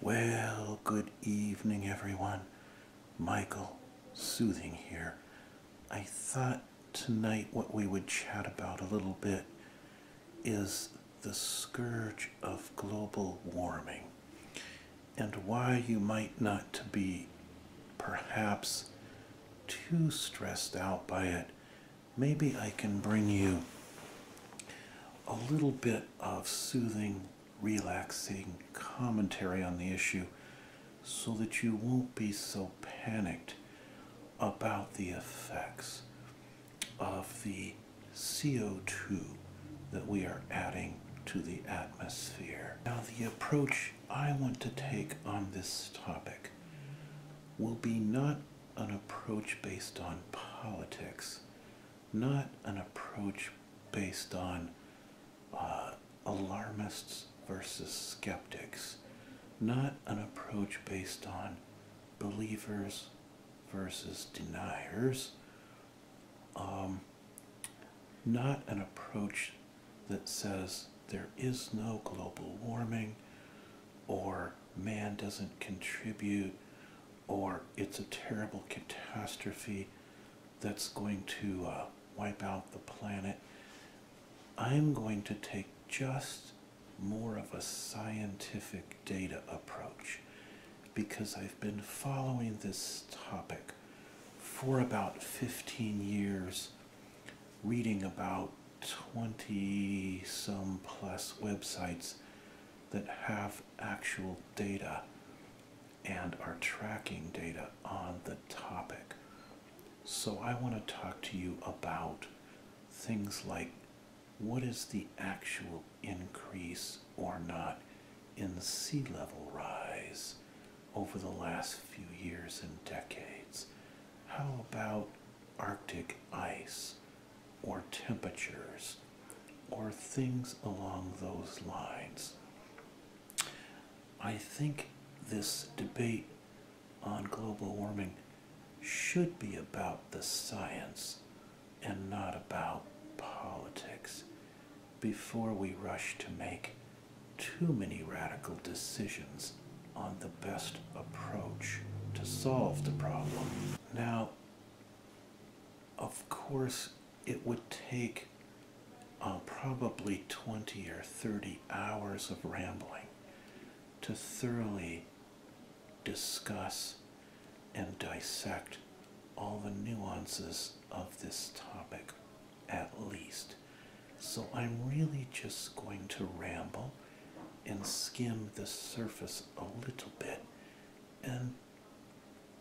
Well, good evening, everyone. Michael, soothing here. I thought tonight what we would chat about a little bit is the scourge of global warming and why you might not be perhaps too stressed out by it. Maybe I can bring you a little bit of soothing relaxing commentary on the issue so that you won't be so panicked about the effects of the CO2 that we are adding to the atmosphere. Now the approach I want to take on this topic will be not an approach based on politics, not an approach based on uh, alarmists versus skeptics, not an approach based on believers versus deniers, um, not an approach that says there is no global warming or man doesn't contribute or it's a terrible catastrophe that's going to uh, wipe out the planet. I'm going to take just more of a scientific data approach because I've been following this topic for about 15 years, reading about 20 some plus websites that have actual data and our tracking data on the topic. So, I want to talk to you about things like what is the actual increase or not in sea level rise over the last few years and decades? How about Arctic ice or temperatures or things along those lines. I think this debate on global warming should be about the science and not about politics before we rush to make too many radical decisions on the best approach to solve the problem. Now, of course, it would take uh, probably 20 or 30 hours of rambling to thoroughly discuss and dissect all the nuances of this topic, at least. So I'm really just going to ramble and skim the surface a little bit and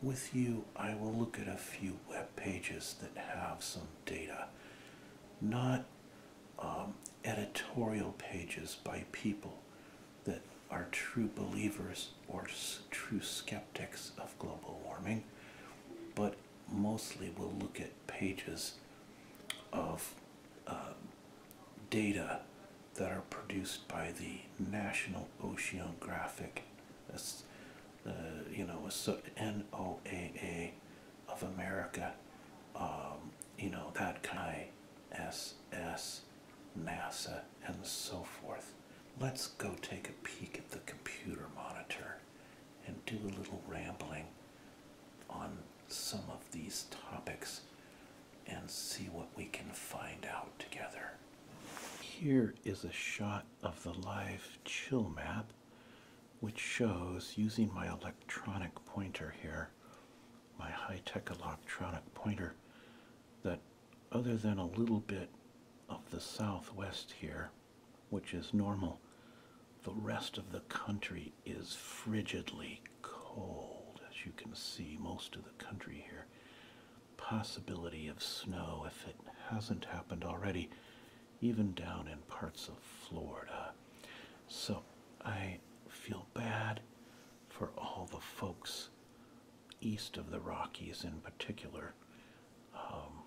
with you, I will look at a few web pages that have some data, not um, editorial pages by people that are true believers or true skeptics of global warming, but mostly we'll look at pages of uh, data that are produced by the National Oceanographic, uh, you know, so NOAA of America, um, you know, that kind S S, NASA, and so forth. Let's go take a peek at the computer monitor and do a little rambling on some of these topics and see what we can find out together. Here is a shot of the live chill map, which shows using my electronic pointer here, my high tech electronic pointer, that other than a little bit of the southwest here, which is normal, the rest of the country is frigidly cold, as you can see, most of the country here possibility of snow if it hasn't happened already, even down in parts of Florida. So I feel bad for all the folks east of the Rockies in particular. Um,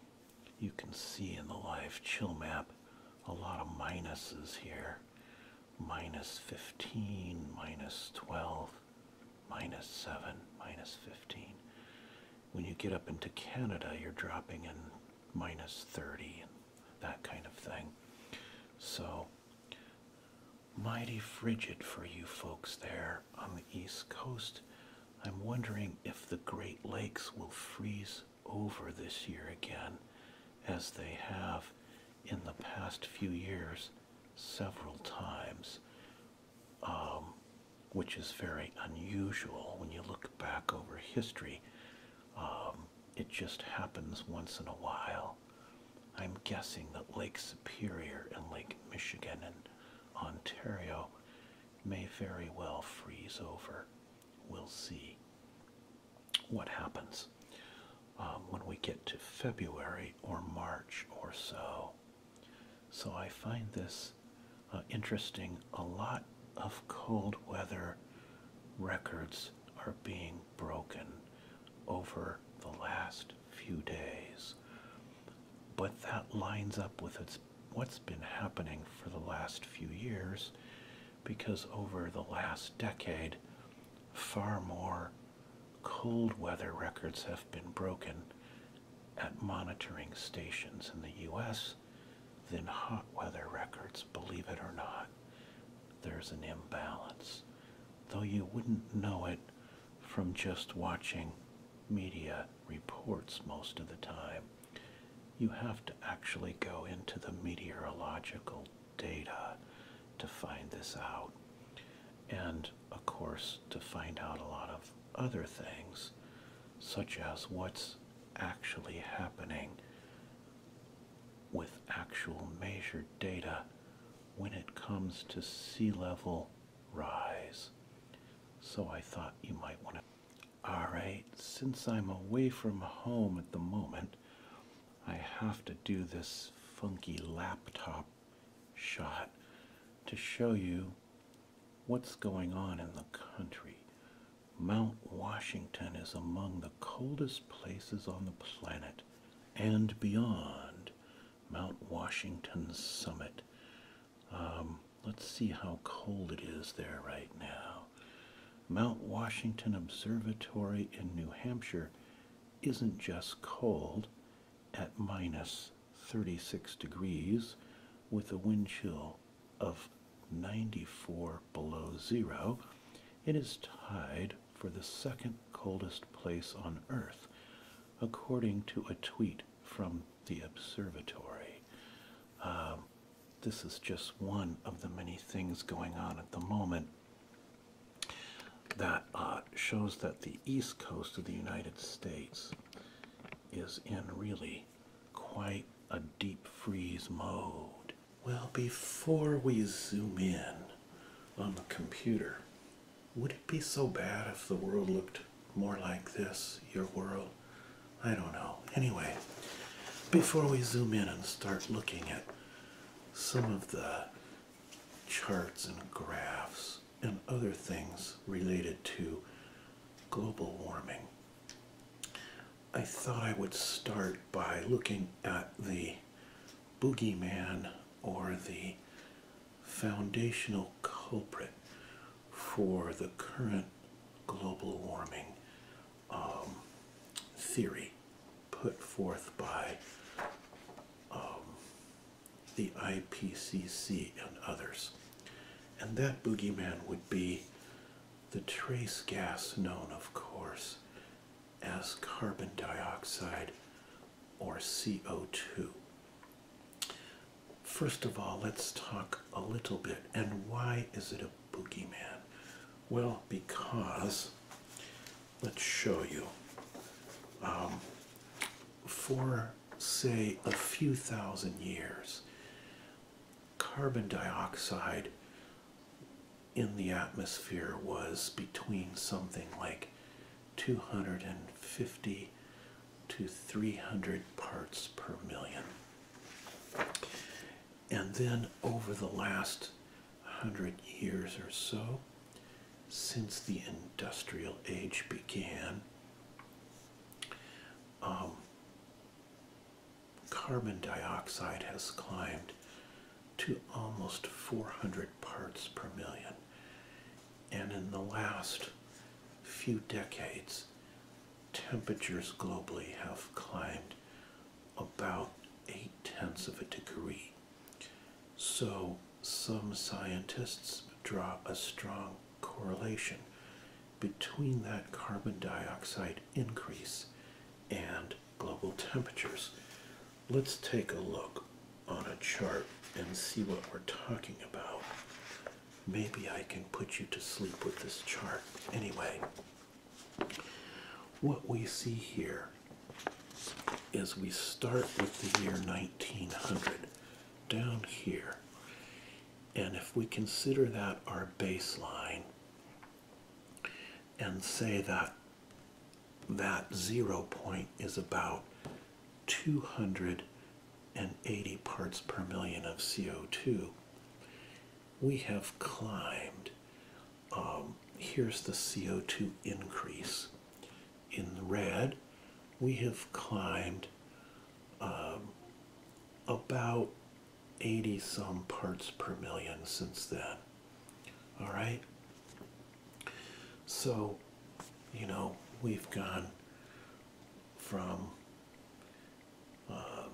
you can see in the live chill map a lot of minuses here minus 15, minus 12 minus 7, minus 15. When you get up into Canada, you're dropping in minus 30 and that kind of thing. So, mighty frigid for you folks there on the East Coast. I'm wondering if the Great Lakes will freeze over this year again, as they have in the past few years several times. Um, which is very unusual when you look back over history. Um, it just happens once in a while. I'm guessing that Lake Superior and Lake Michigan and Ontario may very well freeze over. We'll see what happens um, when we get to February or March or so. So I find this uh, interesting. A lot of cold weather records are being broken over the last few days. But that lines up with what's been happening for the last few years because over the last decade, far more cold weather records have been broken at monitoring stations in the US than hot weather records, believe it or not. There's an imbalance, though you wouldn't know it from just watching media reports most of the time. You have to actually go into the meteorological data to find this out. And of course to find out a lot of other things, such as what's actually happening with actual measured data when it comes to sea level rise. So I thought you might want to. Alright, since I'm away from home at the moment, I have to do this funky laptop shot to show you what's going on in the country. Mount Washington is among the coldest places on the planet and beyond Mount Washington's summit. Um, let's see how cold it is there right now. Mount Washington Observatory in New Hampshire isn't just cold at minus 36 degrees with a wind chill of 94 below zero, it is tied for the second coldest place on Earth, according to a tweet from the observatory. Um, this is just one of the many things going on at the moment that uh, shows that the east coast of the United States is in really quite a deep freeze mode. Well, before we zoom in on the computer, would it be so bad if the world looked more like this, your world? I don't know. Anyway, before we zoom in and start looking at some of the charts and graphs and other things related to global warming. I thought I would start by looking at the boogeyman or the foundational culprit for the current global warming um, theory put forth by um, the IPCC, and others. And that boogeyman would be the trace gas known, of course, as carbon dioxide or CO2. First of all, let's talk a little bit. And why is it a boogeyman? Well, because, let's show you. Um, for say, a few thousand years, carbon dioxide in the atmosphere was between something like 250 to 300 parts per million. And then over the last hundred years or so, since the industrial age began, um, carbon dioxide has climbed to almost 400 parts per million. And in the last few decades, temperatures globally have climbed about eight tenths of a degree. So some scientists draw a strong correlation between that carbon dioxide increase and global temperatures. Let's take a look on a chart and see what we're talking about. Maybe I can put you to sleep with this chart. Anyway, what we see here is we start with the year 1900 down here. And if we consider that our baseline and say that that zero point is about 280 parts per million of CO2, we have climbed. Um, here's the CO2 increase in the red, we have climbed um, about 80 some parts per million since then. All right. So, you know, we've gone from, um,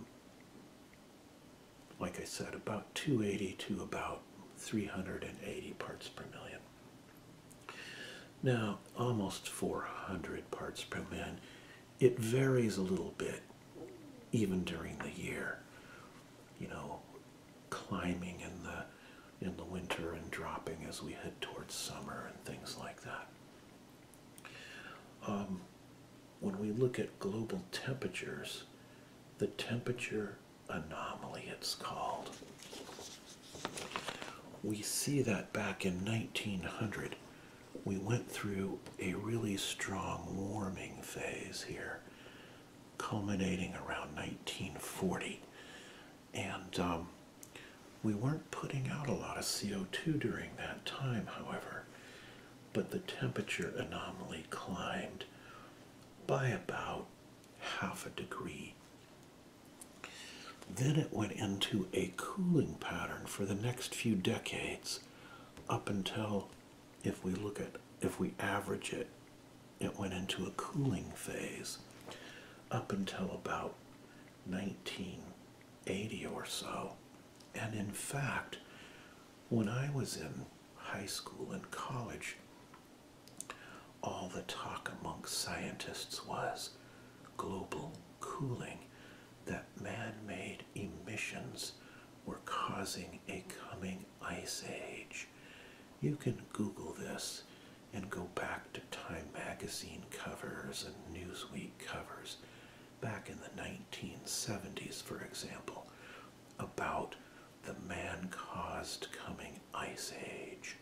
like I said, about 280 to about 380 parts per million. Now, almost 400 parts per million. It varies a little bit even during the year. You know, climbing in the in the winter and dropping as we head towards summer and things like that. Um, when we look at global temperatures, the temperature anomaly it's called we see that back in 1900, we went through a really strong warming phase here, culminating around 1940. And um, we weren't putting out a lot of CO2 during that time, however, but the temperature anomaly climbed by about half a degree then it went into a cooling pattern for the next few decades up until if we look at if we average it it went into a cooling phase up until about 1980 or so and in fact when i was in high school and college all the talk among scientists was global cooling that man made emissions were causing a coming ice age. You can Google this and go back to Time magazine covers and Newsweek covers back in the 1970s, for example, about the man caused coming ice age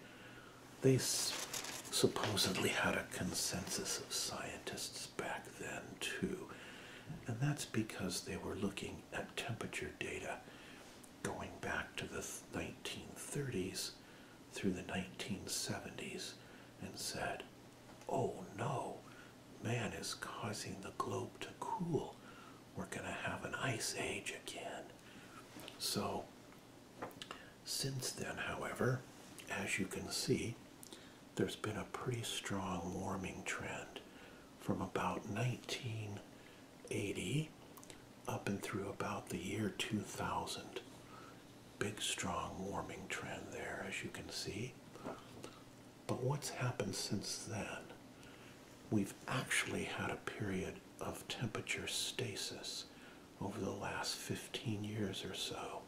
they supposedly had a consensus of scientists back then too. And that's because they were looking at temperature data going back to the 1930s through the 1970s and said, oh no, man is causing the globe to cool. We're going to have an ice age again. So since then, however, as you can see, there's been a pretty strong warming trend from about 1980 up and through about the year 2000. Big strong warming trend there, as you can see. But what's happened since then? We've actually had a period of temperature stasis over the last 15 years or so,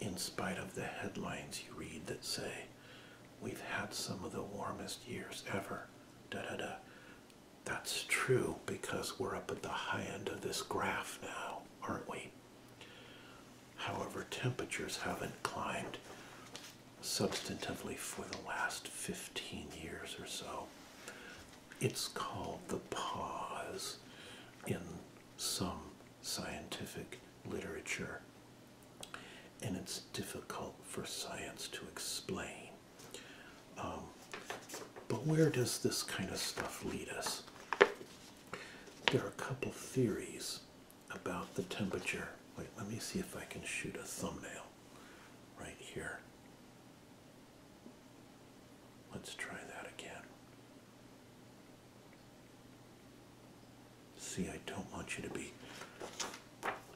in spite of the headlines you read that say, we've had some of the warmest years ever, da da da. That's true because we're up at the high end of this graph now, aren't we? However, temperatures haven't climbed substantively for the last 15 years or so. It's called the pause in some scientific literature, and it's difficult for science to explain. Um, but where does this kind of stuff lead us? There are a couple theories about the temperature. Wait, let me see if I can shoot a thumbnail right here. Let's try that again. See, I don't want you to be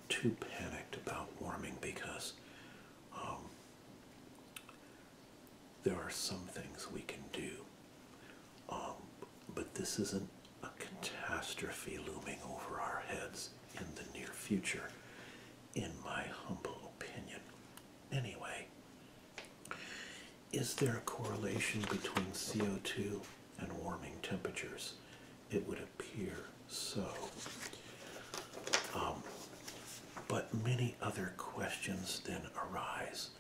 too panicked about warming because um, there are some things we can do. Um, but this isn't a catastrophe looming over our heads in the near future, in my humble opinion. Anyway, is there a correlation between CO2 and warming temperatures? It would appear so. Um, but many other questions then arise.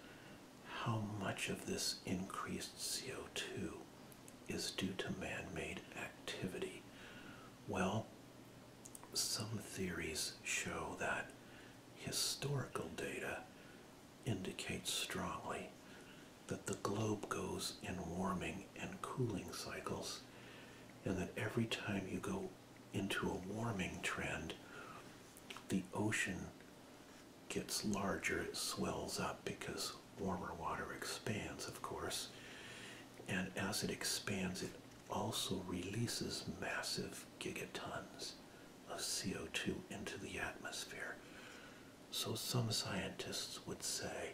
How much of this increased CO2 is due to man made activity? Well, some theories show that historical data indicates strongly that the globe goes in warming and cooling cycles, and that every time you go into a warming trend, the ocean gets larger, it swells up because warmer water expands, of course, and as it expands, it also releases massive gigatons of CO2 into the atmosphere. So some scientists would say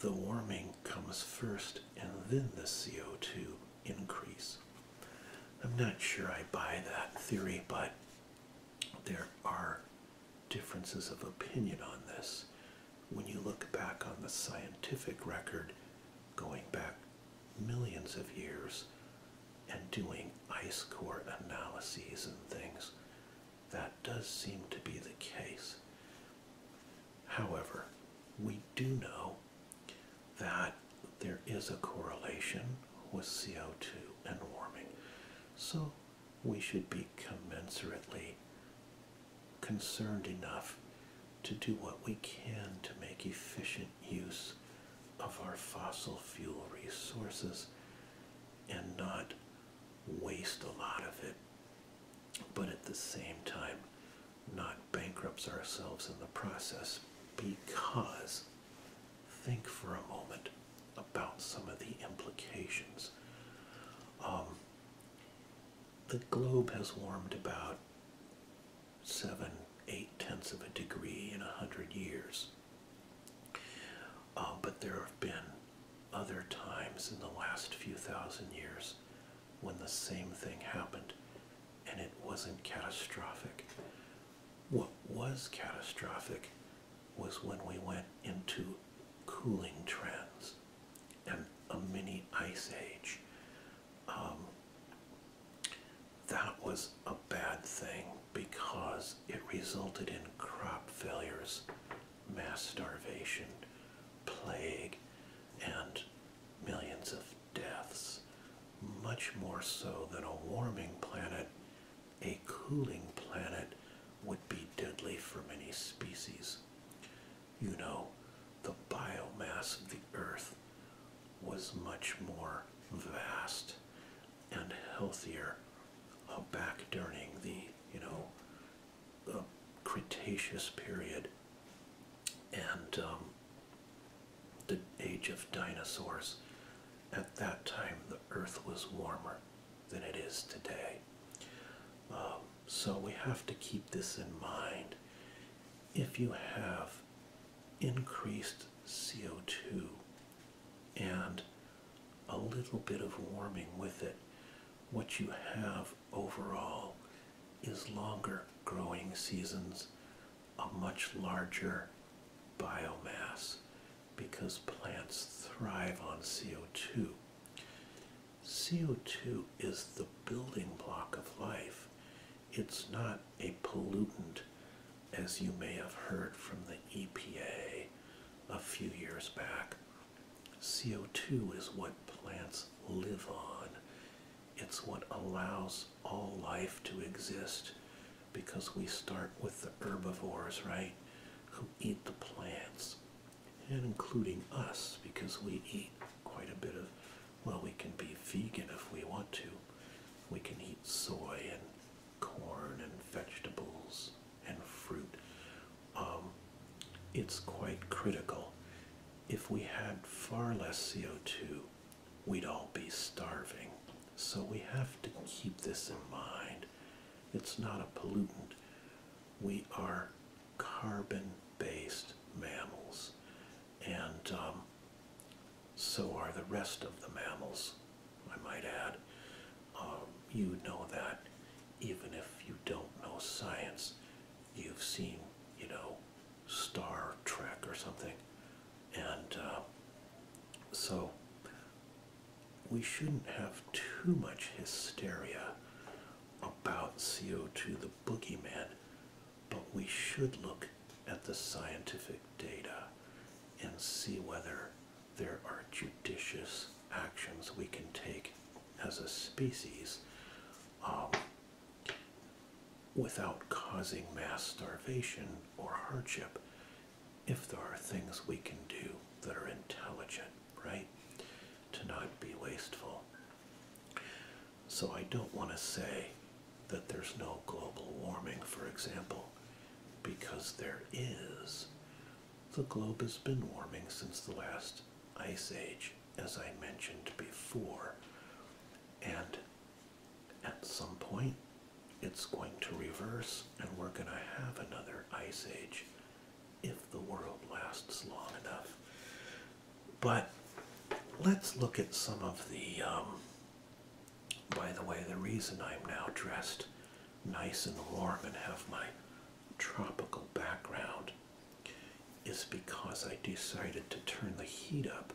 the warming comes first and then the CO2 increase. I'm not sure I buy that theory, but there are differences of opinion on this when you look back on the scientific record going back millions of years and doing ice core analyses and things. That does seem to be the case. However, we do know that there is a correlation with CO2 and warming. So we should be commensurately concerned enough to do what we can to make efficient use of our fossil fuel resources and not waste a lot of it, but at the same time, not bankrupt ourselves in the process because think for a moment about some of the implications. Um, the globe has warmed about seven, eight tenths of a degree in a hundred years. Uh, but there have been other times in the last few thousand years when the same thing happened and it wasn't catastrophic. What was catastrophic was when we went into cooling trends and a mini ice age um, that was a bad thing because it resulted in crop failures, mass starvation, plague, and millions of deaths. Much more so than a warming planet, a cooling planet would be deadly for many species. You know, the biomass of the Earth was much more vast and healthier back during the, you know, uh, Cretaceous period and um, the age of dinosaurs. At that time, the earth was warmer than it is today. Um, so we have to keep this in mind if you have increased CO2 and a little bit of warming with it, what you have overall is longer growing seasons, a much larger biomass because plants thrive on CO2. CO2 is the building block of life. It's not a pollutant, as you may have heard from the EPA a few years back. CO2 is what plants live on. It's what allows all life to exist because we start with the herbivores, right, who eat the plants, and including us because we eat quite a bit of well, we can be vegan if we want to. We can eat soy and corn and vegetables and fruit. Um, it's quite critical. If we had far less CO2, we'd all be starving. So we have to keep this in mind. It's not a pollutant. We are carbon based mammals and um, so are the rest of the mammals, I might add. Um, you know that even if you don't know science, you've seen, you know, Star Trek or something. And uh, so we shouldn't have too much hysteria about CO2 the boogeyman but we should look at the scientific data and see whether there are judicious actions we can take as a species um, without causing mass starvation or hardship if there are things we can do that are intelligent, right? To not be wasteful. So I don't want to say that there's no global warming, for example, because there is. The globe has been warming since the last ice age, as I mentioned before. And at some point, it's going to reverse, and we're going to have another ice age if the world lasts long enough. But let's look at some of the, um, by the way, the reason I'm now dressed nice and warm and have my tropical background is because I decided to turn the heat up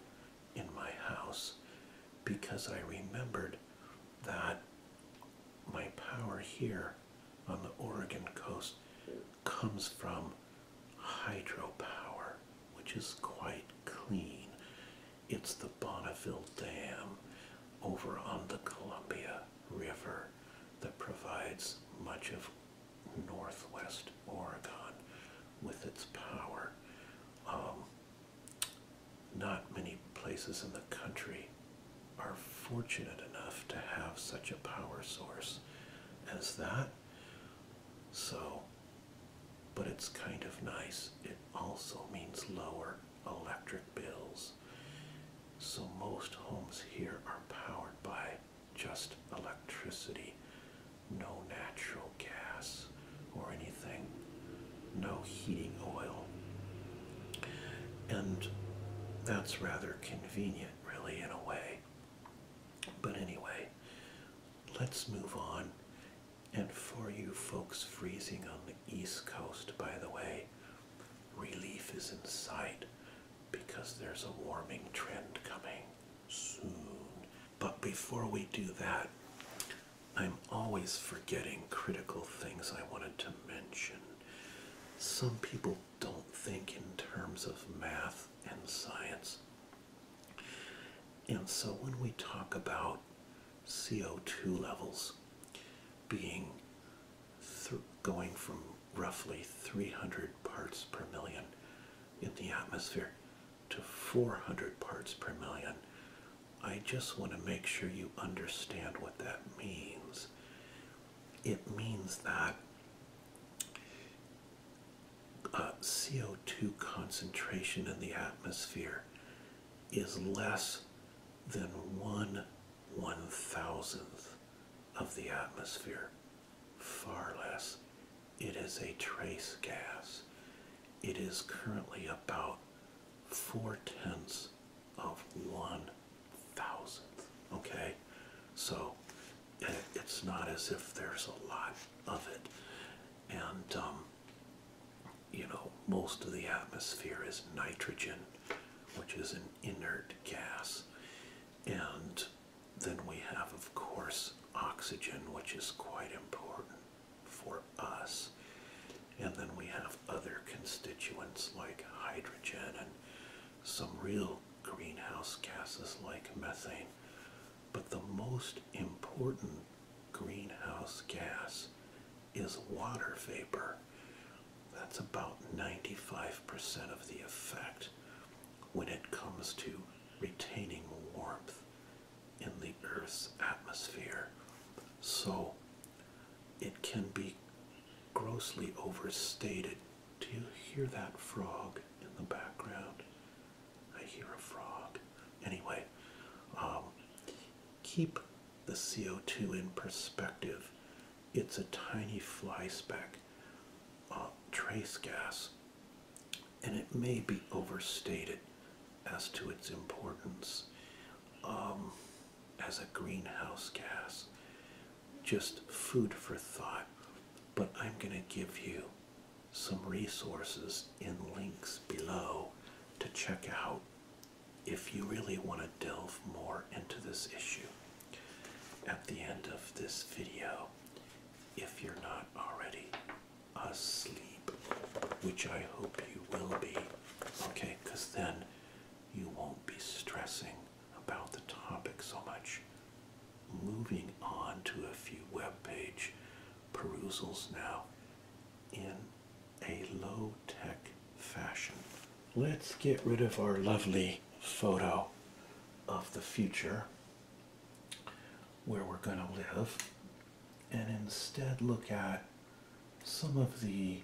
in my house because I remembered that my power here on the Oregon coast comes from hydropower, which is quite clean. It's the Bonneville Dam over on the Columbia River that provides much of northwest Oregon with its power. Um, not many places in the country are fortunate enough to have such a power source as that. So, but it's kind of nice. It also means lower electric bills. So, most homes here are powered by just electricity, no natural gas or anything, no heating oil. And that's rather convenient, really, in a way. But anyway, let's move on. And for you folks freezing on the East Coast, by the way, relief is in sight because there's a warming trend coming soon. But before we do that, I'm always forgetting critical things I wanted to mention. Some people don't think in terms of math and science. And so when we talk about CO2 levels being going from roughly 300 parts per million in the atmosphere to 400 parts per million, I just want to make sure you understand what that means. It means that uh, CO2 concentration in the atmosphere is less than one one thousandth of the atmosphere. Far less. It is a trace gas. It is currently about four tenths of one thousandth. Okay? So eh, it's not as if there's a lot of it and um, you know most of the atmosphere is nitrogen, which is an inert gas, and then we have of course oxygen, which is quite important for us, and then we have other constituents like hydrogen and some real greenhouse gases like methane. But the most important greenhouse gas is water vapor. That's about 95% of the effect when it comes to retaining warmth in the Earth's atmosphere. So it can be grossly overstated. Do you hear that frog in the background? I hear a frog. Anyway, um, keep the CO2 in perspective. It's a tiny fly speck, uh, trace gas, and it may be overstated as to its importance um, as a greenhouse gas. Just food for thought. But I'm going to give you some resources in links below to check out if you really want to delve more into this issue at the end of this video if you're not already asleep which i hope you will be okay because then you won't be stressing about the topic so much moving on to a few web page perusals now in a low tech fashion. Let's get rid of our lovely photo of the future where we're going to live and instead look at some of the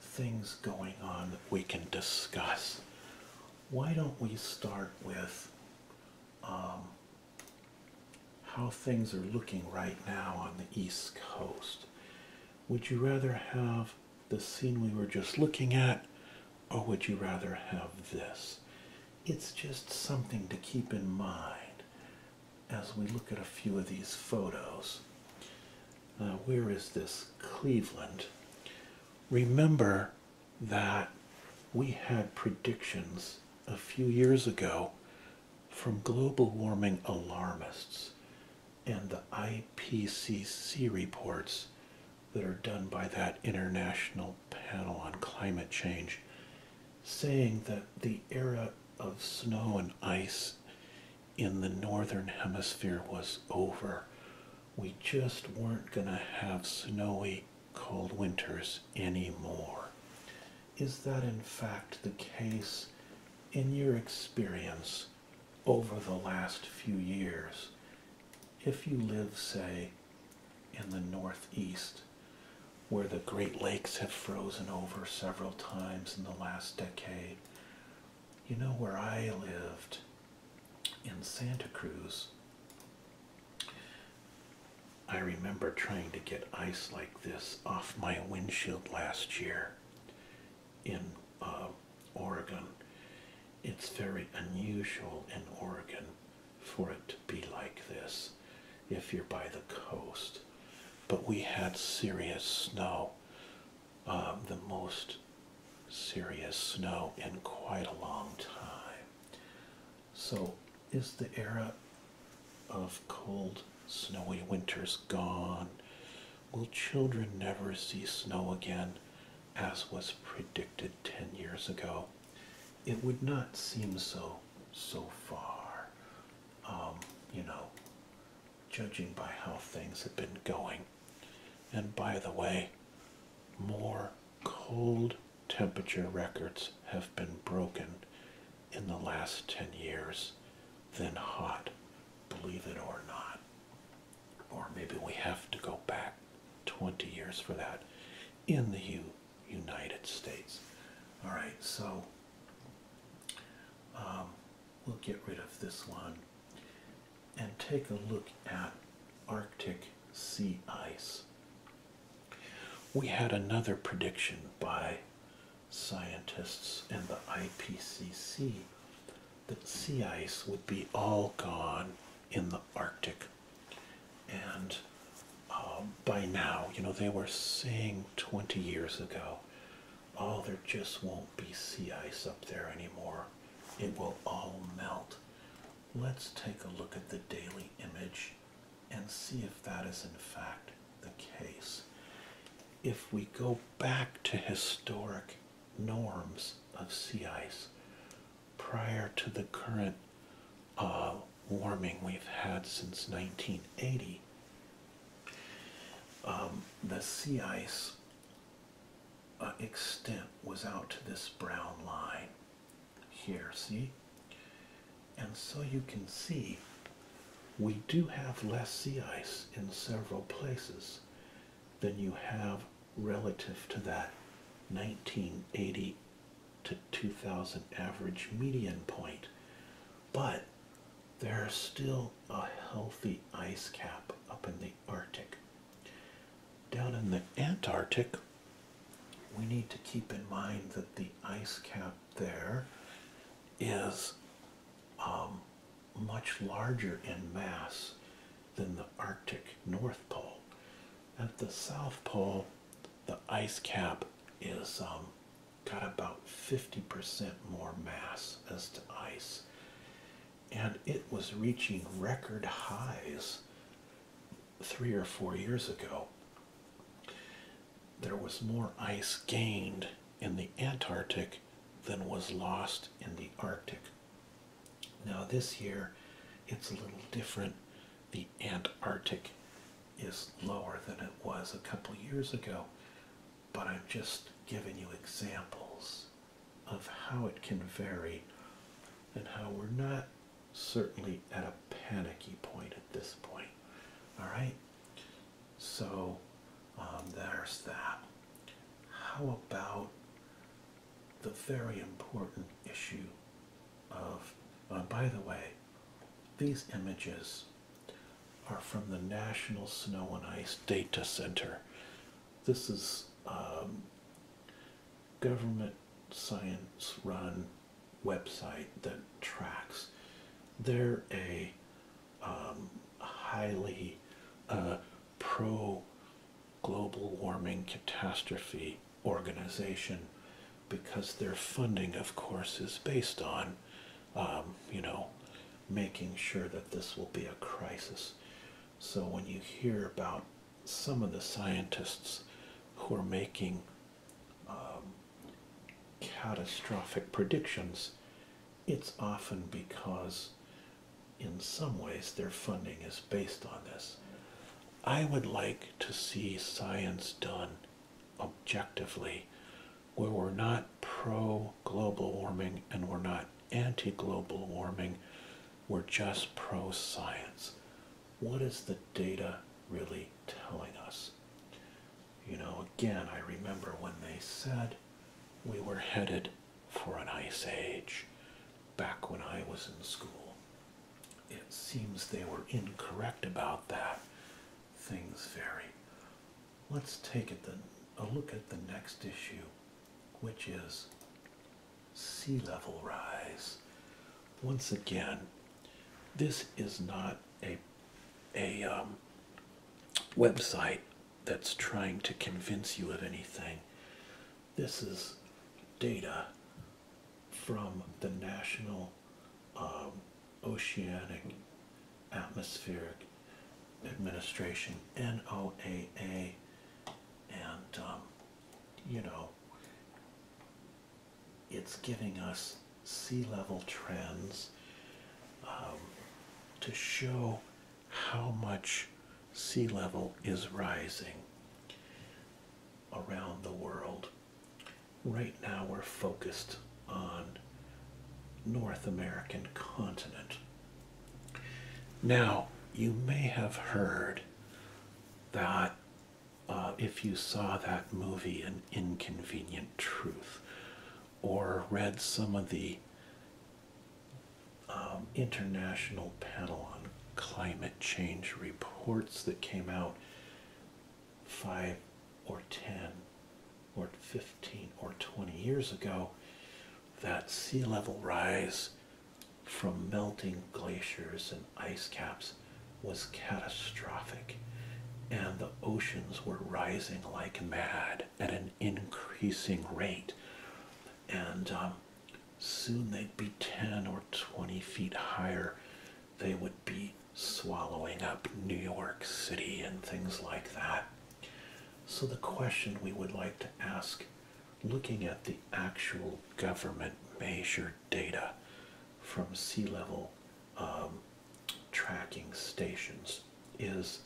things going on that we can discuss. Why don't we start with um, how things are looking right now on the East Coast. Would you rather have the scene we were just looking at, or would you rather have this? It's just something to keep in mind as we look at a few of these photos. Uh, where is this? Cleveland. Remember that we had predictions a few years ago from global warming alarmists and the IPCC reports that are done by that international panel on climate change saying that the era of snow and ice in the northern hemisphere was over. We just weren't going to have snowy, cold winters anymore. Is that in fact the case in your experience over the last few years? If you live, say, in the Northeast, where the Great Lakes have frozen over several times in the last decade, you know where I lived in Santa Cruz I remember trying to get ice like this off my windshield last year in uh, Oregon. It's very unusual in Oregon for it to be like this if you're by the coast. But we had serious snow, um, the most serious snow in quite a long time. So is the era of cold, snowy winters gone? Will children never see snow again, as was predicted ten years ago? It would not seem so, so far, um, you know, judging by how things have been going. And by the way, more cold temperature records have been broken in the last 10 years than hot, believe it or not. Or maybe we have to go back 20 years for that in the United States. All right, so um, we'll get rid of this one and take a look at Arctic sea ice we had another prediction by scientists and the IPCC that sea ice would be all gone in the Arctic. And uh, by now, you know, they were saying 20 years ago, oh, there just won't be sea ice up there anymore. It will all melt. Let's take a look at the daily image and see if that is in fact the case. If we go back to historic norms of sea ice prior to the current uh, warming we've had since 1980, um, the sea ice uh, extent was out to this brown line here, see? And so you can see we do have less sea ice in several places than you have relative to that 1980 to 2000 average median point. But there's still a healthy ice cap up in the Arctic. Down in the Antarctic, we need to keep in mind that the ice cap there is um, much larger in mass than the Arctic North Pole. At the South Pole, the ice cap is um, got about 50% more mass as to ice. And it was reaching record highs three or four years ago there was more ice gained in the Antarctic than was lost in the Arctic. Now, this year it's a little different. The Antarctic is lower than it was a couple years ago, but I'm just giving you examples of how it can vary and how we're not certainly at a panicky point at this point. All right. So um, there's that. How about the very important issue of, uh, by the way, these images are from the National Snow and Ice Data Center. This is um, government science run website that tracks. They're a um, highly uh, pro global warming catastrophe organization because their funding, of course, is based on, um, you know, making sure that this will be a crisis. So when you hear about some of the scientists who are making um, catastrophic predictions, it's often because in some ways their funding is based on this. I would like to see science done objectively where we're not pro global warming and we're not anti global warming, we're just pro science. What is the data really telling us? You know, again, I remember when they said we were headed for an ice age back when I was in school. It seems they were incorrect about that. Things vary. Let's take a look at the next issue, which is sea level rise. Once again, this is not a a um, website that's trying to convince you of anything. This is data from the National um, Oceanic Atmospheric Administration, NOAA, and um, you know, it's giving us sea level trends um, to show how much sea level is rising around the world. Right now we're focused on North American continent. Now, you may have heard that uh, if you saw that movie, An Inconvenient Truth, or read some of the um, International Panel on Climate Change reports that came out five or ten or 15 or 20 years ago, that sea level rise from melting glaciers and ice caps was catastrophic, and the oceans were rising like mad at an increasing rate. And um, soon they'd be 10 or 20 feet higher. They would be swallowing up New York City and things like that. So, the question we would like to ask, looking at the actual government measured data from sea level um, tracking stations is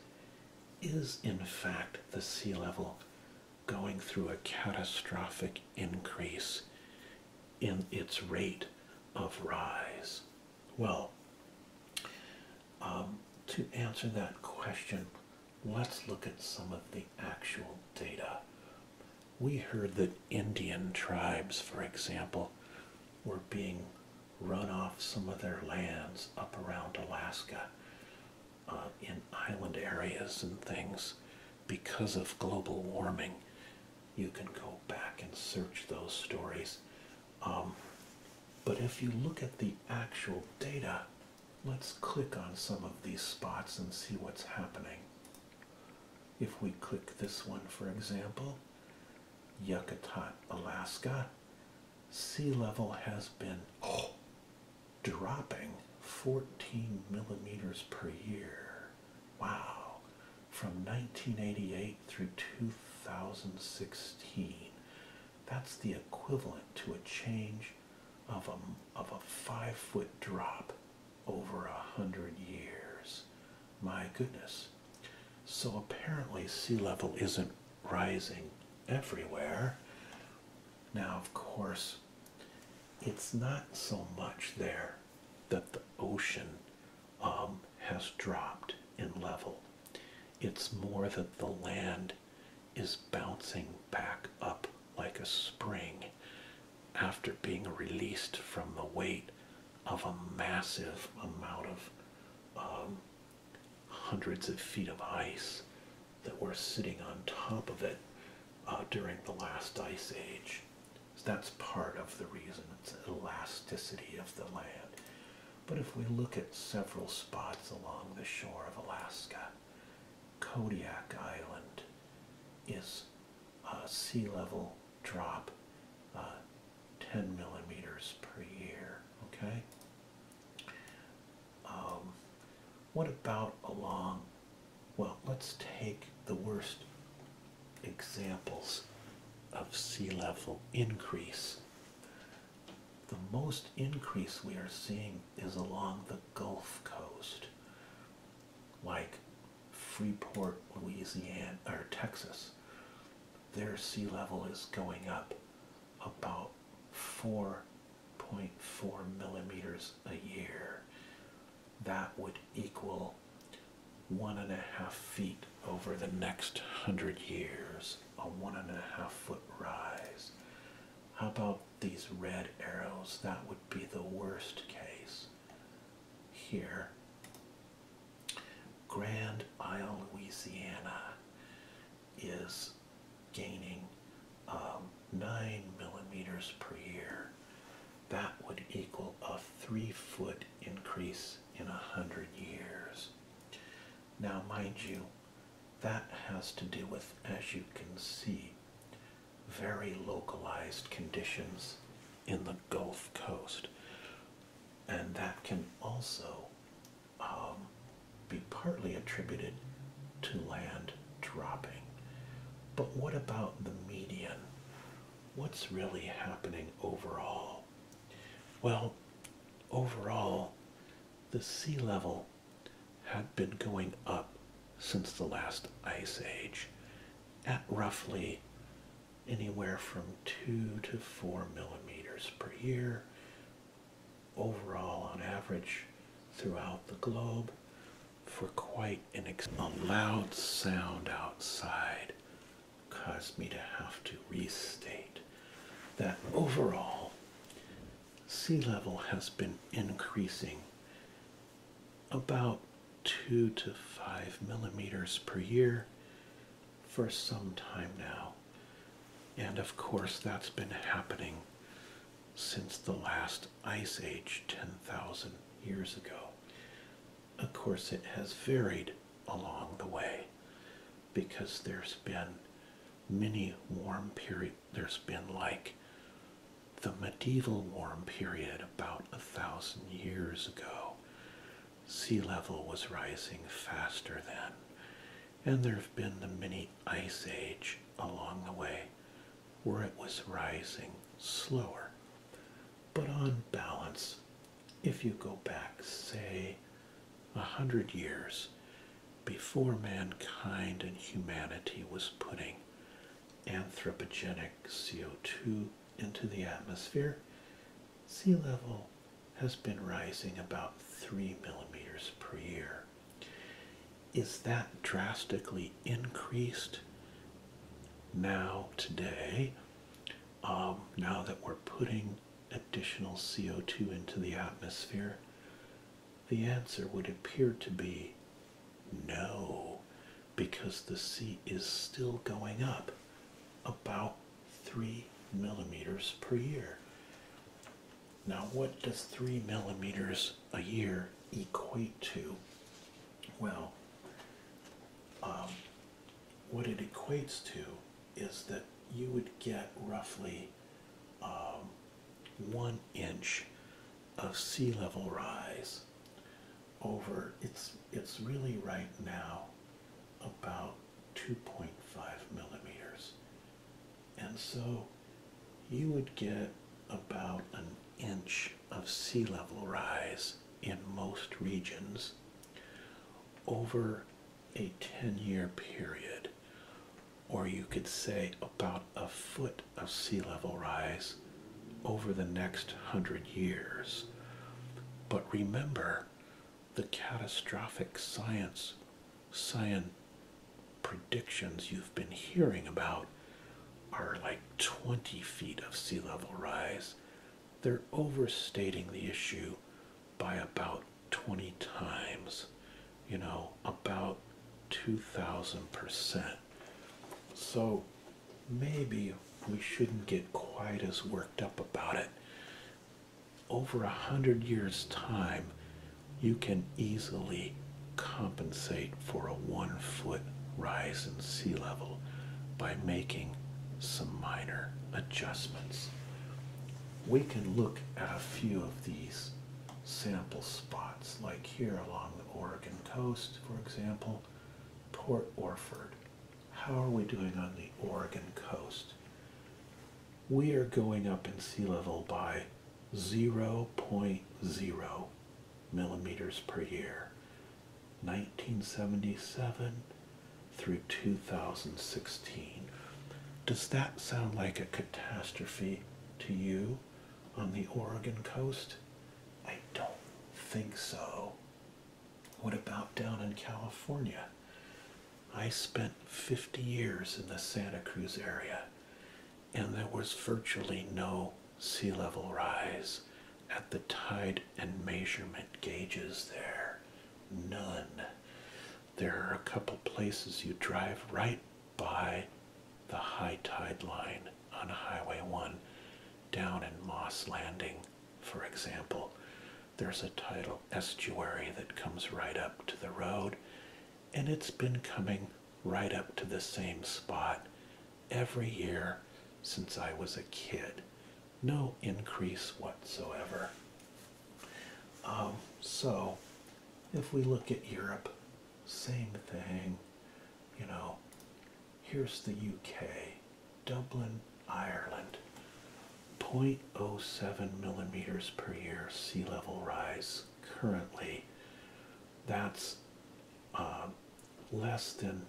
is in fact the sea level going through a catastrophic increase in its rate of rise? Well, um, to answer that question, let's look at some of the actual data. We heard that Indian tribes, for example, were being run off some of their lands up around Alaska uh, in island areas and things because of global warming. You can go back and search those stories. Um, but if you look at the actual data, let's click on some of these spots and see what's happening. If we click this one, for example, Yucatan, Alaska, sea level has been dropping 14 millimeters per year. Wow. From 1988 through 2016. That's the equivalent to a change of a, of a five foot drop over a hundred years. My goodness. So apparently sea level isn't rising everywhere. Now, of course, it's not so much there that the ocean um, has dropped in level. It's more that the land is bouncing back up like a spring after being released from the weight of a massive amount of um, hundreds of feet of ice that were sitting on top of it uh, during the last ice age. that's part of the reason it's elasticity of the land. But if we look at several spots along the shore of Alaska, Kodiak Island is uh, sea level drop uh, 10 millimeters per year. Okay. Um, what about along? Well, let's take the worst examples of sea level increase. The most increase we are seeing is along the Gulf Coast, like Freeport, Louisiana, or Texas their sea level is going up about 4.4 millimeters a year. That would equal one and a half feet over the next hundred years, a one and a half foot rise. How about these red arrows? That would be the worst case. Here, Grand Isle, Louisiana is gaining um, 9 millimeters per year. That would equal a three foot increase in a hundred years. Now, mind you, that has to do with, as you can see, very localized conditions in the Gulf Coast and that can also um, be partly attributed to land dropping. But what about the median? What's really happening overall? Well, overall, the sea level had been going up since the last ice age at roughly anywhere from two to four millimeters per year overall on average throughout the globe for quite an ex a loud sound outside caused me to have to restate that overall sea level has been increasing about two to five millimeters per year for some time now. And of course, that's been happening since the last ice age 10,000 years ago. Of course, it has varied along the way because there's been many warm periods. There's been like the medieval warm period about a thousand years ago sea level was rising faster then, and there have been the mini ice age along the way where it was rising slower. But on balance, if you go back, say, a hundred years before mankind and humanity was putting anthropogenic CO2 into the atmosphere, sea level has been rising about three millimeters per year. Is that drastically increased now today? Um, now that we're putting additional CO2 into the atmosphere? The answer would appear to be no, because the sea is still going up about three millimeters per year. Now, what does three millimeters a year equate to? Well, um, what it equates to is that you would get roughly um, one inch of sea level rise over it's it's really right now about 2.5 millimeters. And so you would get about an inch of sea level rise in most regions over a 10 year period. Or you could say about a foot of sea level rise over the next hundred years. But remember, the catastrophic science, science predictions you've been hearing about are like 20 feet of sea level rise. They're overstating the issue by about 20 times, you know, about 2,000%. So maybe we shouldn't get quite as worked up about it over a hundred years time you can easily compensate for a one foot rise in sea level by making some minor adjustments. We can look at a few of these sample spots like here along the Oregon coast for example, Port Orford how are we doing on the Oregon coast? We are going up in sea level by 0.0 millimeters per year, 1977 through 2016. Does that sound like a catastrophe to you on the Oregon coast? I don't think so. What about down in California? I spent 50 years in the Santa Cruz area and there was virtually no sea level rise at the tide and measurement gauges there. None. There are a couple places you drive right by the high tide line on Highway 1 down in Moss Landing for example, there's a tidal estuary that comes right up to the road, and it's been coming right up to the same spot every year since I was a kid. No increase whatsoever. Um, so, if we look at Europe, same thing. You know, here's the UK, Dublin, Ireland. 0.07 millimeters per year sea level rise currently. That's uh, less than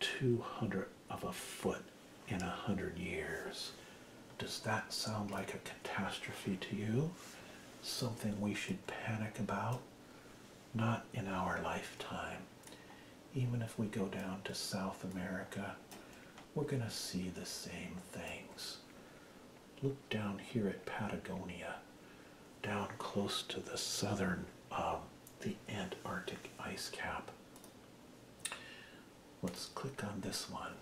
200 of a foot in a hundred years. Does that sound like a catastrophe to you? Something we should panic about? Not in our lifetime. Even if we go down to South America we're going to see the same things. Look down here at Patagonia, down close to the southern, um, the Antarctic ice cap. Let's click on this one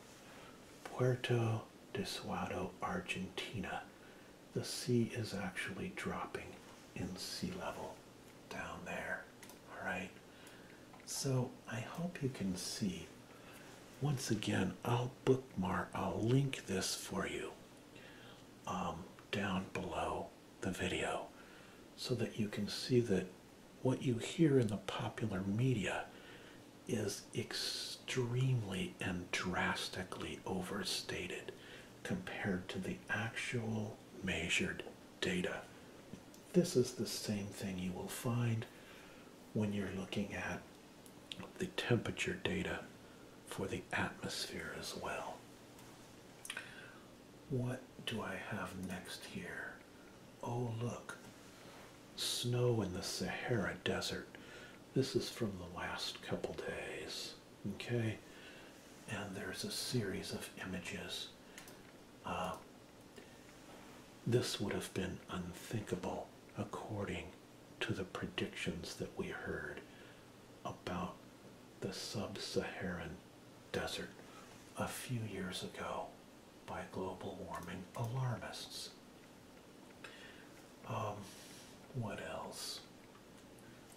Puerto de Desuado, Argentina. The sea is actually dropping in sea level down there. All right. So I hope you can see. Once again, I'll bookmark, I'll link this for you um, down below the video so that you can see that what you hear in the popular media is extremely and drastically overstated compared to the actual measured data this is the same thing you will find when you're looking at the temperature data for the atmosphere as well. What do I have next here? Oh, look, snow in the Sahara Desert. This is from the last couple days, okay? And there's a series of images. Uh, this would have been unthinkable according to the predictions that we heard about the sub Saharan desert a few years ago by global warming alarmists. Um, what else?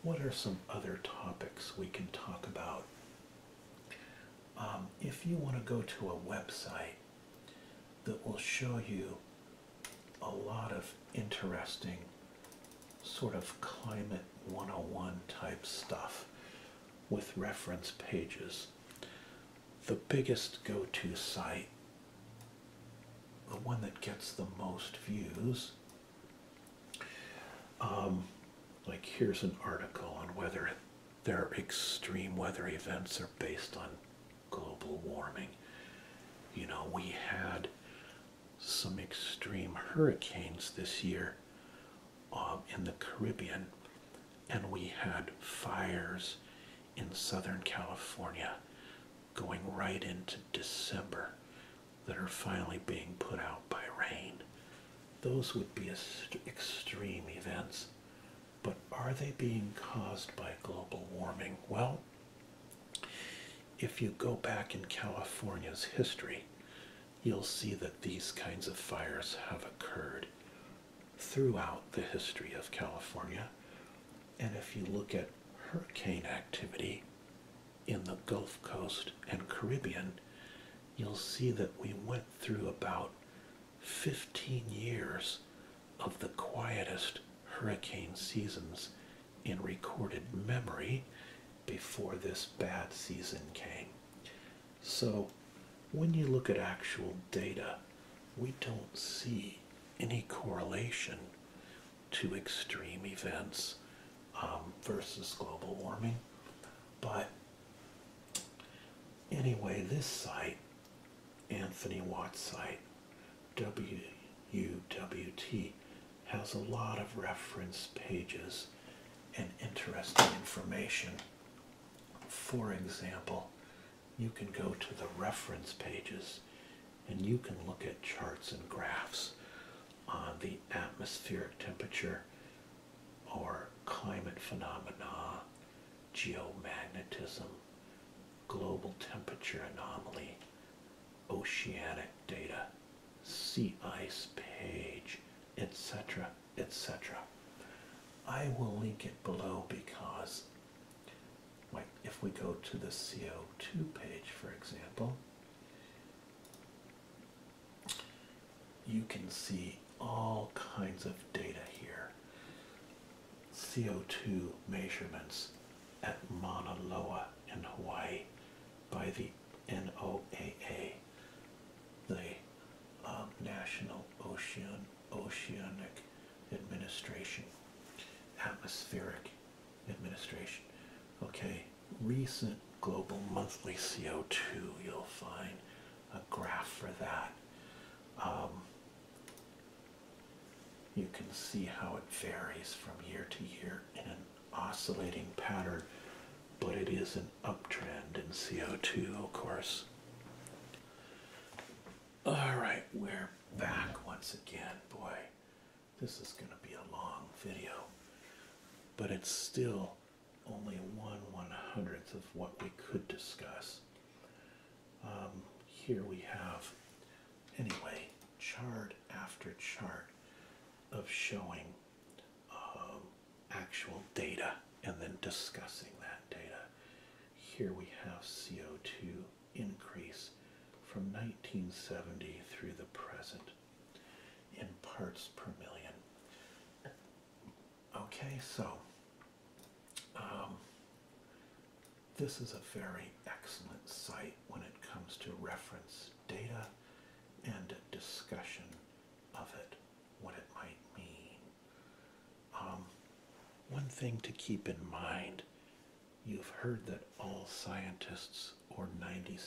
What are some other topics we can talk about? Um, if you want to go to a website that will show you a lot of interesting sort of climate 101 type stuff with reference pages, the biggest go to site, the one that gets the most views. Um, like here's an article on whether their extreme weather events are based on global warming. You know, we had some extreme hurricanes this year um, in the Caribbean, and we had fires in Southern California going right into December that are finally being put out by rain. Those would be extreme events. But are they being caused by global warming? Well, if you go back in California's history, you'll see that these kinds of fires have occurred throughout the history of California. And if you look at hurricane activity in the Gulf Coast and Caribbean, you'll see that we went through about 15 years of the quietest hurricane seasons in recorded memory before this bad season came. So when you look at actual data, we don't see any correlation to extreme events um, versus global warming. But Anyway, this site, Anthony Watts site, WUWT, has a lot of reference pages and interesting information. For example, you can go to the reference pages and you can look at charts and graphs on the atmospheric temperature or climate phenomena, geomagnetism, global temperature anomaly, oceanic data, sea ice page, etc. etc. I will link it below because like if we go to the CO2 page, for example, you can see all kinds of data here. CO2 measurements at Mauna Loa in Hawaii by the NOAA, the um, National Ocean Oceanic Administration, Atmospheric Administration. Okay, recent global monthly CO2 you'll find a graph for that. Um, you can see how it varies from year to year in an oscillating pattern, but it is an uptrend in CO2, of course. All right, we're back once again. Boy, this is going to be a long video, but it's still only one one hundredth of what we could discuss. Um, here we have, anyway, chart after chart of showing um, actual data and then discussing that data. Here we have CO2 increase from 1970 through the present in parts per million. Okay, so um, this is a very excellent site when it comes to reference data and discussion of it, what it might mean. Um, one thing to keep in mind you've heard that all scientists, or 97%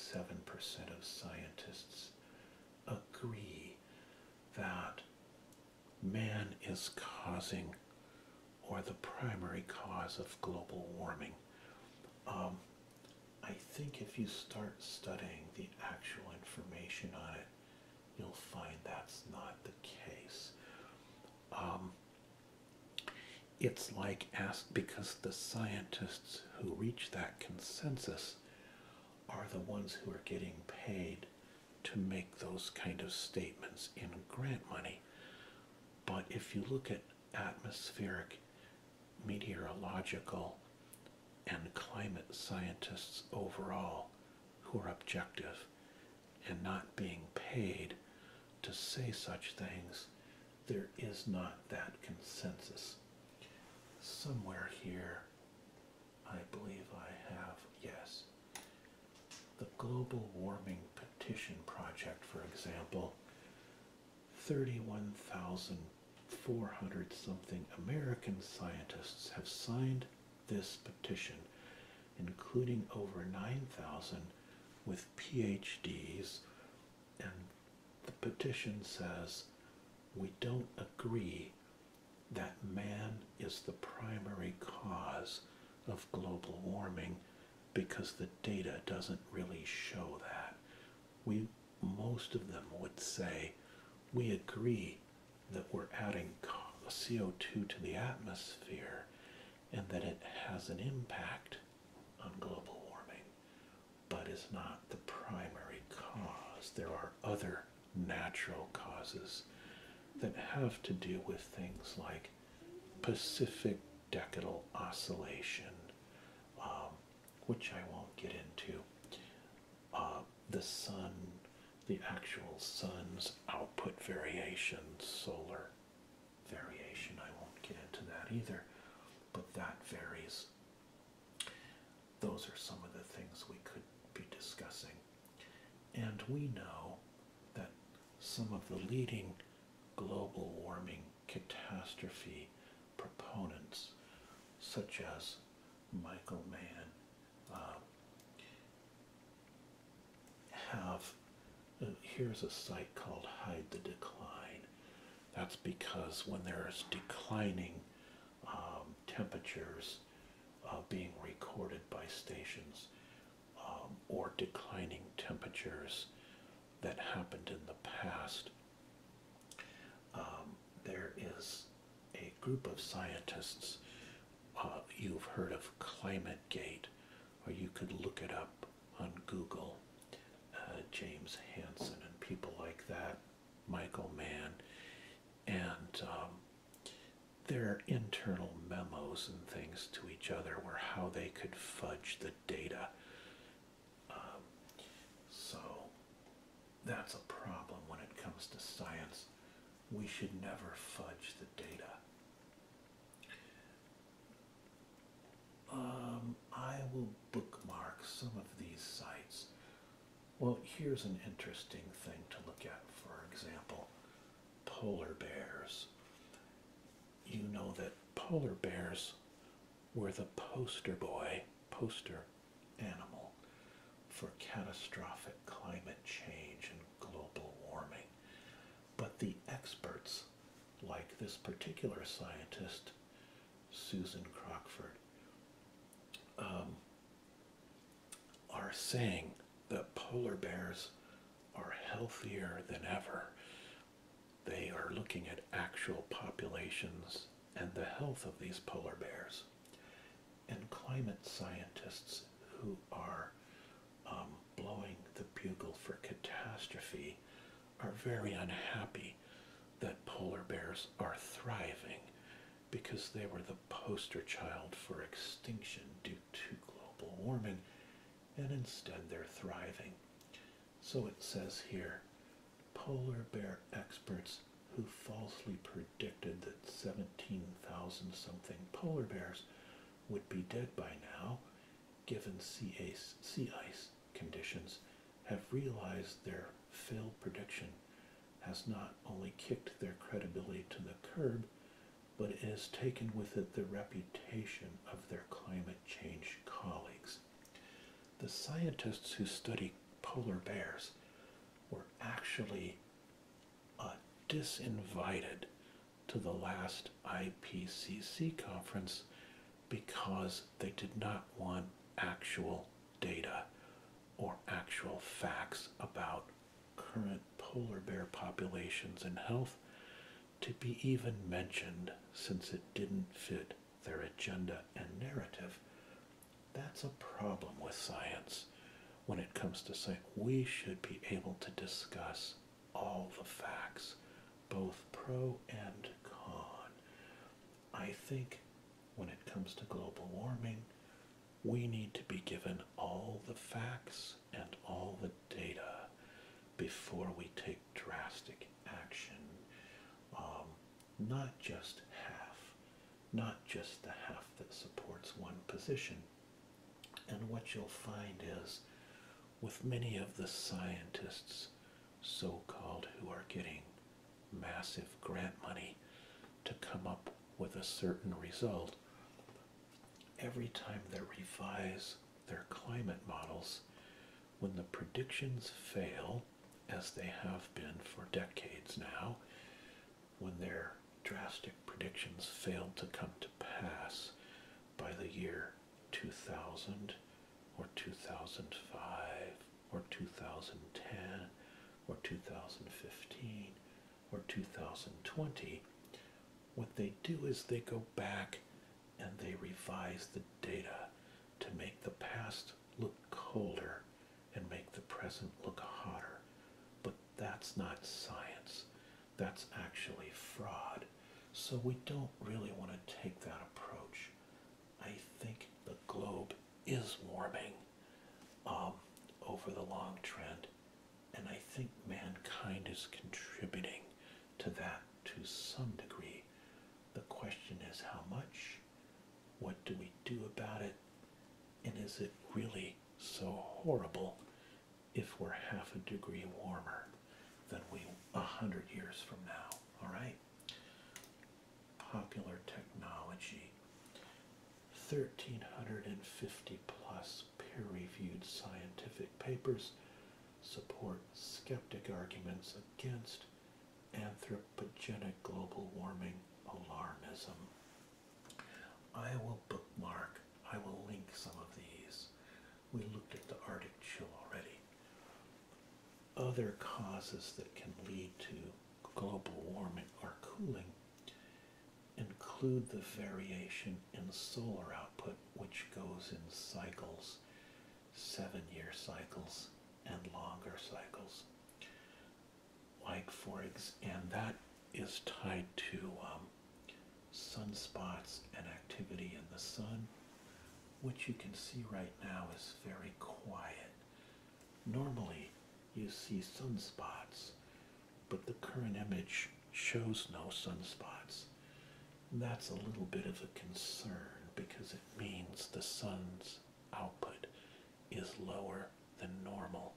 of scientists, agree that man is causing or the primary cause of global warming. Um, I think if you start studying the actual information on it, you'll find that's not the case. Um, it's like ask because the scientists who reach that consensus are the ones who are getting paid to make those kind of statements in grant money. But if you look at atmospheric, meteorological, and climate scientists overall who are objective and not being paid to say such things, there is not that consensus. Somewhere here I believe I have, yes. The Global Warming Petition Project, for example, 31,400 something American scientists have signed this petition, including over 9,000 with PhDs. And the petition says, We don't agree that man is the primary cause of global warming because the data doesn't really show that. We, most of them would say, we agree that we're adding CO2 to the atmosphere and that it has an impact on global warming, but is not the primary cause. There are other natural causes that have to do with things like Pacific decadal oscillation, um, which I won't get into. Uh, the sun, the actual sun's output variation, solar variation, I won't get into that either, but that varies those are some of the things we could be discussing. And we know that some of the leading global warming catastrophe proponents, such as Michael Mann, uh, have uh, here's a site called Hide the Decline. That's because when there's declining um, temperatures uh, being recorded by stations um, or declining temperatures that happened in the past. Um, there is a group of scientists, uh, you've heard of ClimateGate, or you could look it up on Google, uh, James Hansen and people like that, Michael Mann, and their internal memos and things to each other were how they could fudge the data. Um, so that's a problem when it comes to science. We should never fudge the data. Um, I will bookmark some of these sites well, here's an interesting thing to look at, for example, polar bears. You know that polar bears were the poster boy, poster animal for catastrophic climate change and global warming. But the experts, like this particular scientist, Susan Crockford, um, are saying that polar bears are healthier than ever. They are looking at actual populations and the health of these polar bears. And climate scientists who are um, blowing the bugle for catastrophe are very unhappy that polar bears are thriving because they were the poster child for extinction due to global warming, and instead they're thriving. So it says here polar bear experts who falsely predicted that 17,000 something polar bears would be dead by now, given sea ice, conditions, have realized their failed prediction has not only kicked their credibility to the curb, but it has taken with it the reputation of their climate change colleagues. The scientists who study polar bears were actually uh, disinvited to the last IPCC conference because they did not want actual data or actual facts about current polar bear populations and health to be even mentioned since it didn't fit their agenda and narrative. That's a problem with science when it comes to science. we should be able to discuss all the facts, both pro and con. I think when it comes to global warming, we need to be given all the facts and all the data before we take drastic action. Um, not just half, not just the half that supports one position. And what you'll find is, with many of the scientists, so-called, who are getting massive grant money to come up with a certain result, every time they revise their climate models when the predictions fail, as they have been for decades now, when their drastic predictions failed to come to pass by the year 2000 or 2005 or 2010 or 2015 or 2020, what they do is they go back and they revise the data to make the past look colder and make the present look hotter. But that's not science. That's actually fraud. So we don't really want to take that approach. I think the globe is warming um, over the long trend and I think mankind is contributing to that to some degree. The question is how much? What do we do about it? And is it really so horrible if we're half a degree warmer than we a hundred years from now? All right. Popular technology. 1,350 plus peer reviewed scientific papers support skeptic arguments against anthropogenic global warming alarmism. I will bookmark, I will link some of these. We looked at the Arctic chill already. Other causes that can lead to global warming or cooling include the variation in solar output, which goes in cycles, seven year cycles and longer cycles. Like for example, and that is tied to um, sunspots and activity in the sun, which you can see right now is very quiet. Normally, you see sunspots, but the current image shows no sunspots. That's a little bit of a concern because it means the sun's output is lower than normal.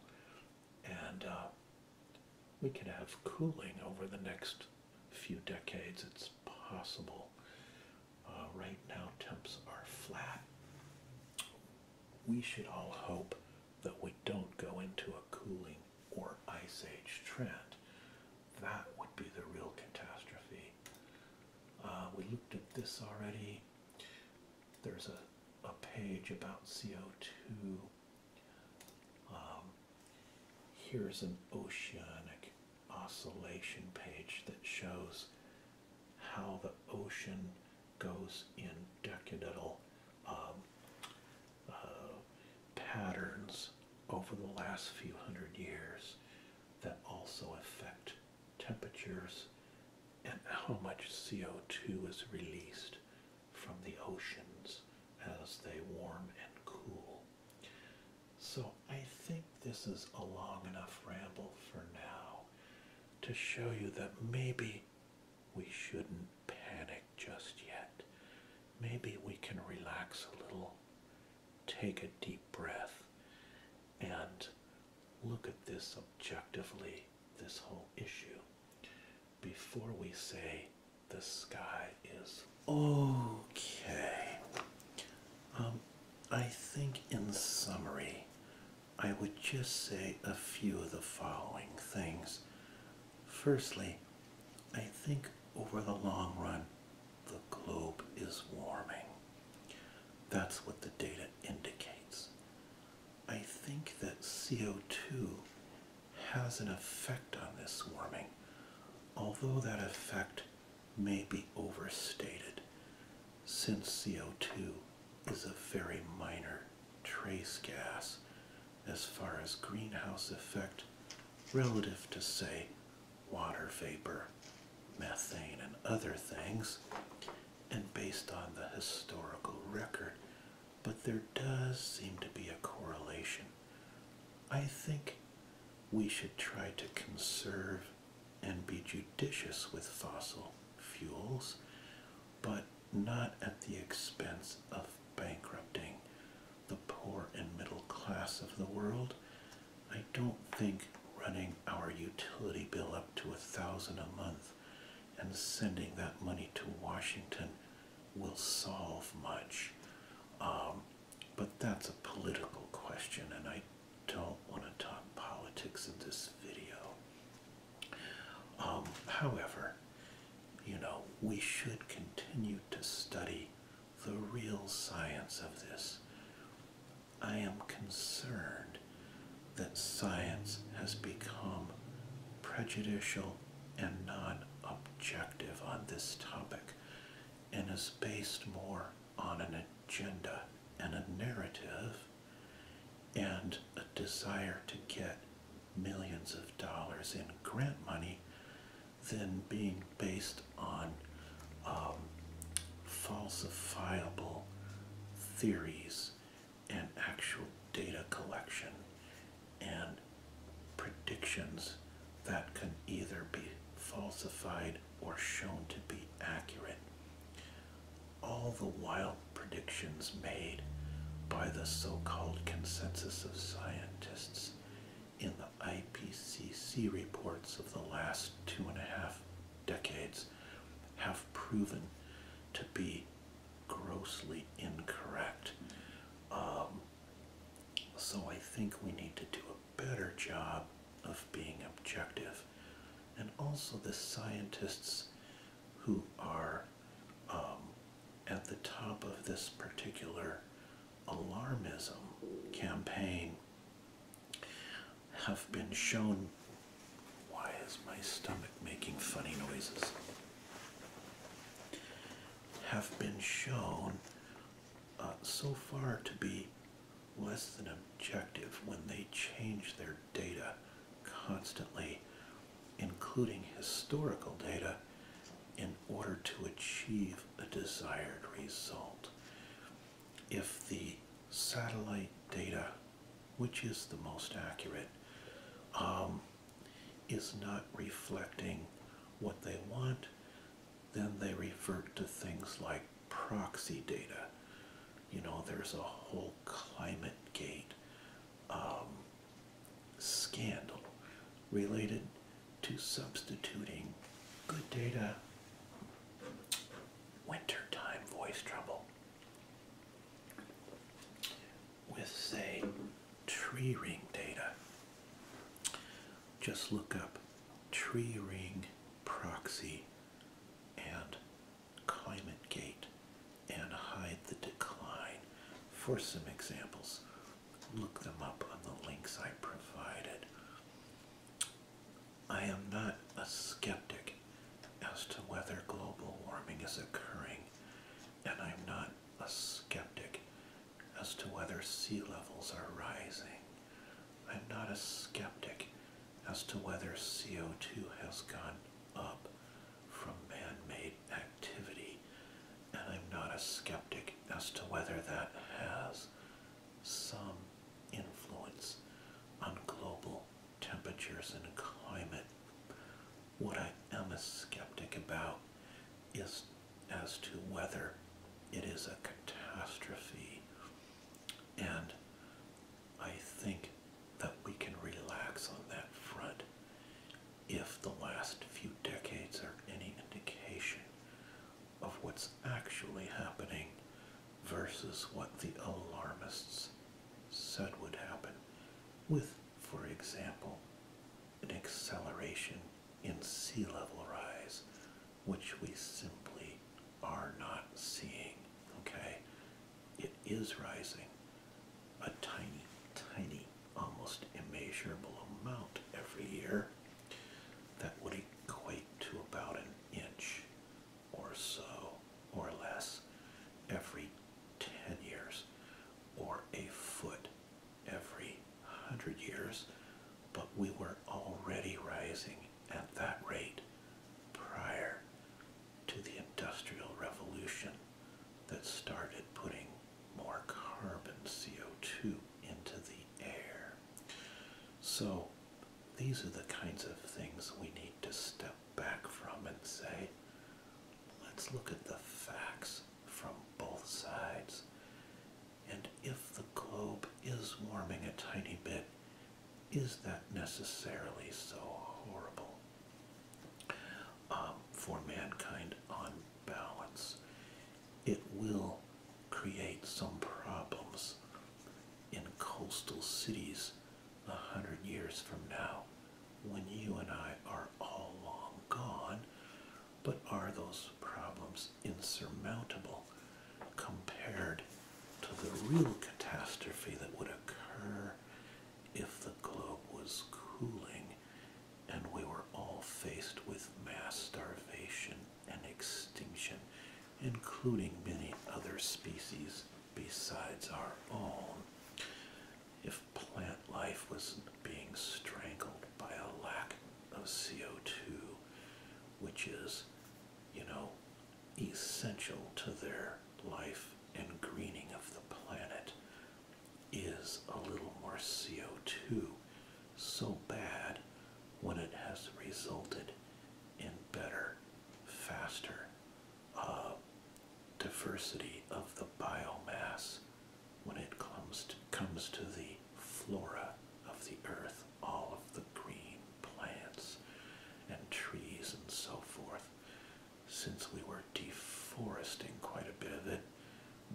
And uh, we could have cooling over the next few decades. It's possible. Uh, right now, temps are flat. We should all hope that we don't go into a cooling or ice age trend. That would be the real catastrophe. Uh, we looked at this already. There's a, a page about CO2. Um, here's an oceanic oscillation page that shows how the ocean goes in decadal um, uh, patterns over the last few hundred years that also affect temperatures and how much CO2 is released from the oceans as they warm and cool. So I think this is a long enough ramble for now to show you that maybe we shouldn't panic just yet. Maybe we can relax a little, take a deep breath, and look at this objectively, this whole issue, before we say the sky is okay. Um, I think in summary, I would just say a few of the following things Firstly, I think over the long run, the globe is warming. That's what the data indicates. I think that CO2 has an effect on this warming, although that effect may be overstated, since CO2 is a very minor trace gas as far as greenhouse effect relative to, say, water vapor, methane, and other things, and based on the historical record. But there does seem to be a correlation. I think we should try to conserve and be judicious with fossil fuels, but not at the expense of bankrupting the poor and middle class of the world. I don't think running our utility bill up to a thousand a month and sending that money to Washington will solve much. Um, but that's a political question, and I don't want to talk politics in this video. Um, however, you know, we should continue to study the real science of this. I am concerned that science has become prejudicial and non objective on this topic and is based more on an agenda and a narrative and a desire to get millions of dollars in grant money than being based on um, falsifiable theories and actual data collection and predictions that can either be falsified or shown to be accurate. All the while predictions made by the so called consensus of scientists in the IPCC reports of the last two and a half decades have proven to be grossly incorrect. Um, so I think we need to do a better job of being objective. And also, the scientists who are um, at the top of this particular alarmism campaign have been shown. Why is my stomach making funny noises? Have been shown uh, so far to be less than objective when they change their data constantly including historical data, in order to achieve a desired result. If the satellite data, which is the most accurate, um, is not reflecting what they want, then they revert to things like proxy data. You know, there's a whole climate gate um, scandal related to substituting good data, wintertime voice trouble with, say, tree ring data. Just look up tree ring proxy and climate gate and hide the decline. For some examples, look them up on the links I provided. I am not a skeptic as to whether global warming is occurring, and I'm not a skeptic as to whether sea levels are rising. I'm not a skeptic as to whether CO2 has gone up from man-made activity, and I'm not a skeptic as to whether that has some influence on global temperatures and climate. What I am a skeptic about is as to whether it is a catastrophe, and I think that we can relax on that front if the last few decades are any indication of what's actually happening versus what the alarmists said would happen, with, for example, an acceleration in sea level rise, which we simply are not seeing. Okay? It is rising, a tiny, tiny, almost immeasurable amount every year that would equate to about an inch or so or less every 10 years or a foot every 100 years, but we were already rising at that rate prior to the Industrial Revolution that started putting more carbon CO2 into the air. So these are the kinds of things we need to step back from and say, let's look at the facts from both sides. And if the globe is warming a tiny bit, is that necessarily so horrible? Um, for mankind on balance. It will create some problems in coastal cities a hundred years from now when you and I are all long gone. But are those problems insurmountable compared to the real catastrophe that would occur if the globe was cooling? and we were all faced with mass starvation and extinction, including many other species besides our own. If plant life was being strangled by a lack of CO2, which is, you know, essential to their life and greening of the planet, is a little more CO2 so bad when it has resulted in better, faster uh, diversity of the biomass when it comes to, comes to the flora of the earth, all of the green plants and trees and so forth. Since we were deforesting quite a bit of it,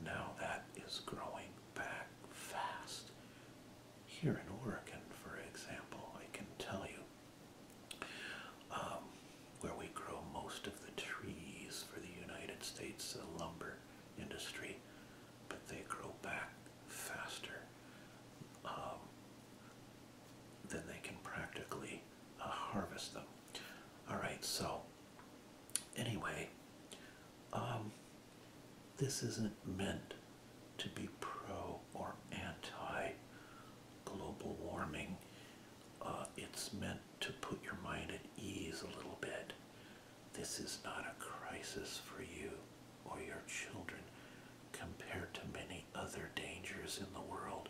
now that is growing back fast. Here in Oregon, for example, I can tell you um, where we grow most of the trees for the United States, lumber industry, but they grow back faster um, than they can practically uh, harvest them. All right, so Anyway, um, this isn't meant to be pro or anti global warming. Uh, it's meant to put your mind at ease a little bit. This is not a crisis for you or your children compared to many other dangers in the world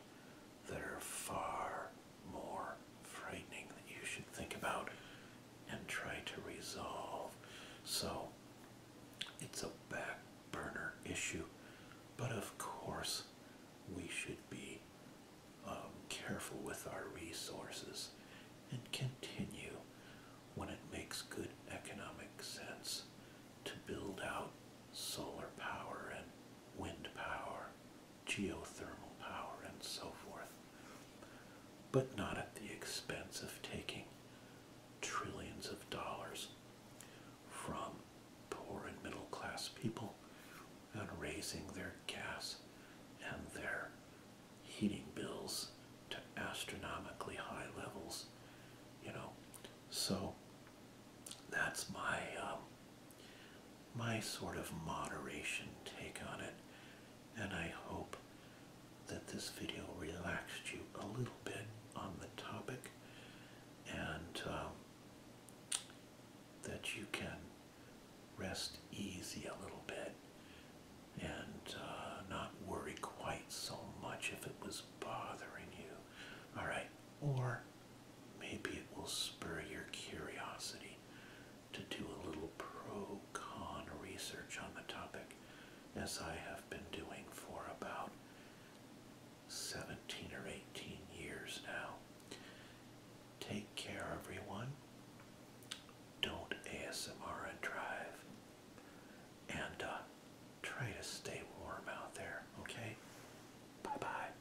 that are far, more frightening that you should think about and try to resolve. So it's a back burner issue, but of course we should be um, careful with our resources and continue when it makes good economic sense to build out solar power and wind power geothermal power and so forth, but not at the expense of taking trillions of dollars from poor and middle class people and raising their gas and their heating bills to astronomically high levels, you know. So that's my um, my sort of moderation take on it. And I hope that this video relaxed you a little bit on the topic and um, that you can rest easy a little bit and uh, not worry quite so much if it was bothering you. All right. Or maybe it will spur your curiosity to do a little pro con research on the topic, as I have been doing for about 17 or 18 years now. Take care, everyone. Don't ASMR and drive. And uh, try to stay warm out there, okay? Bye bye.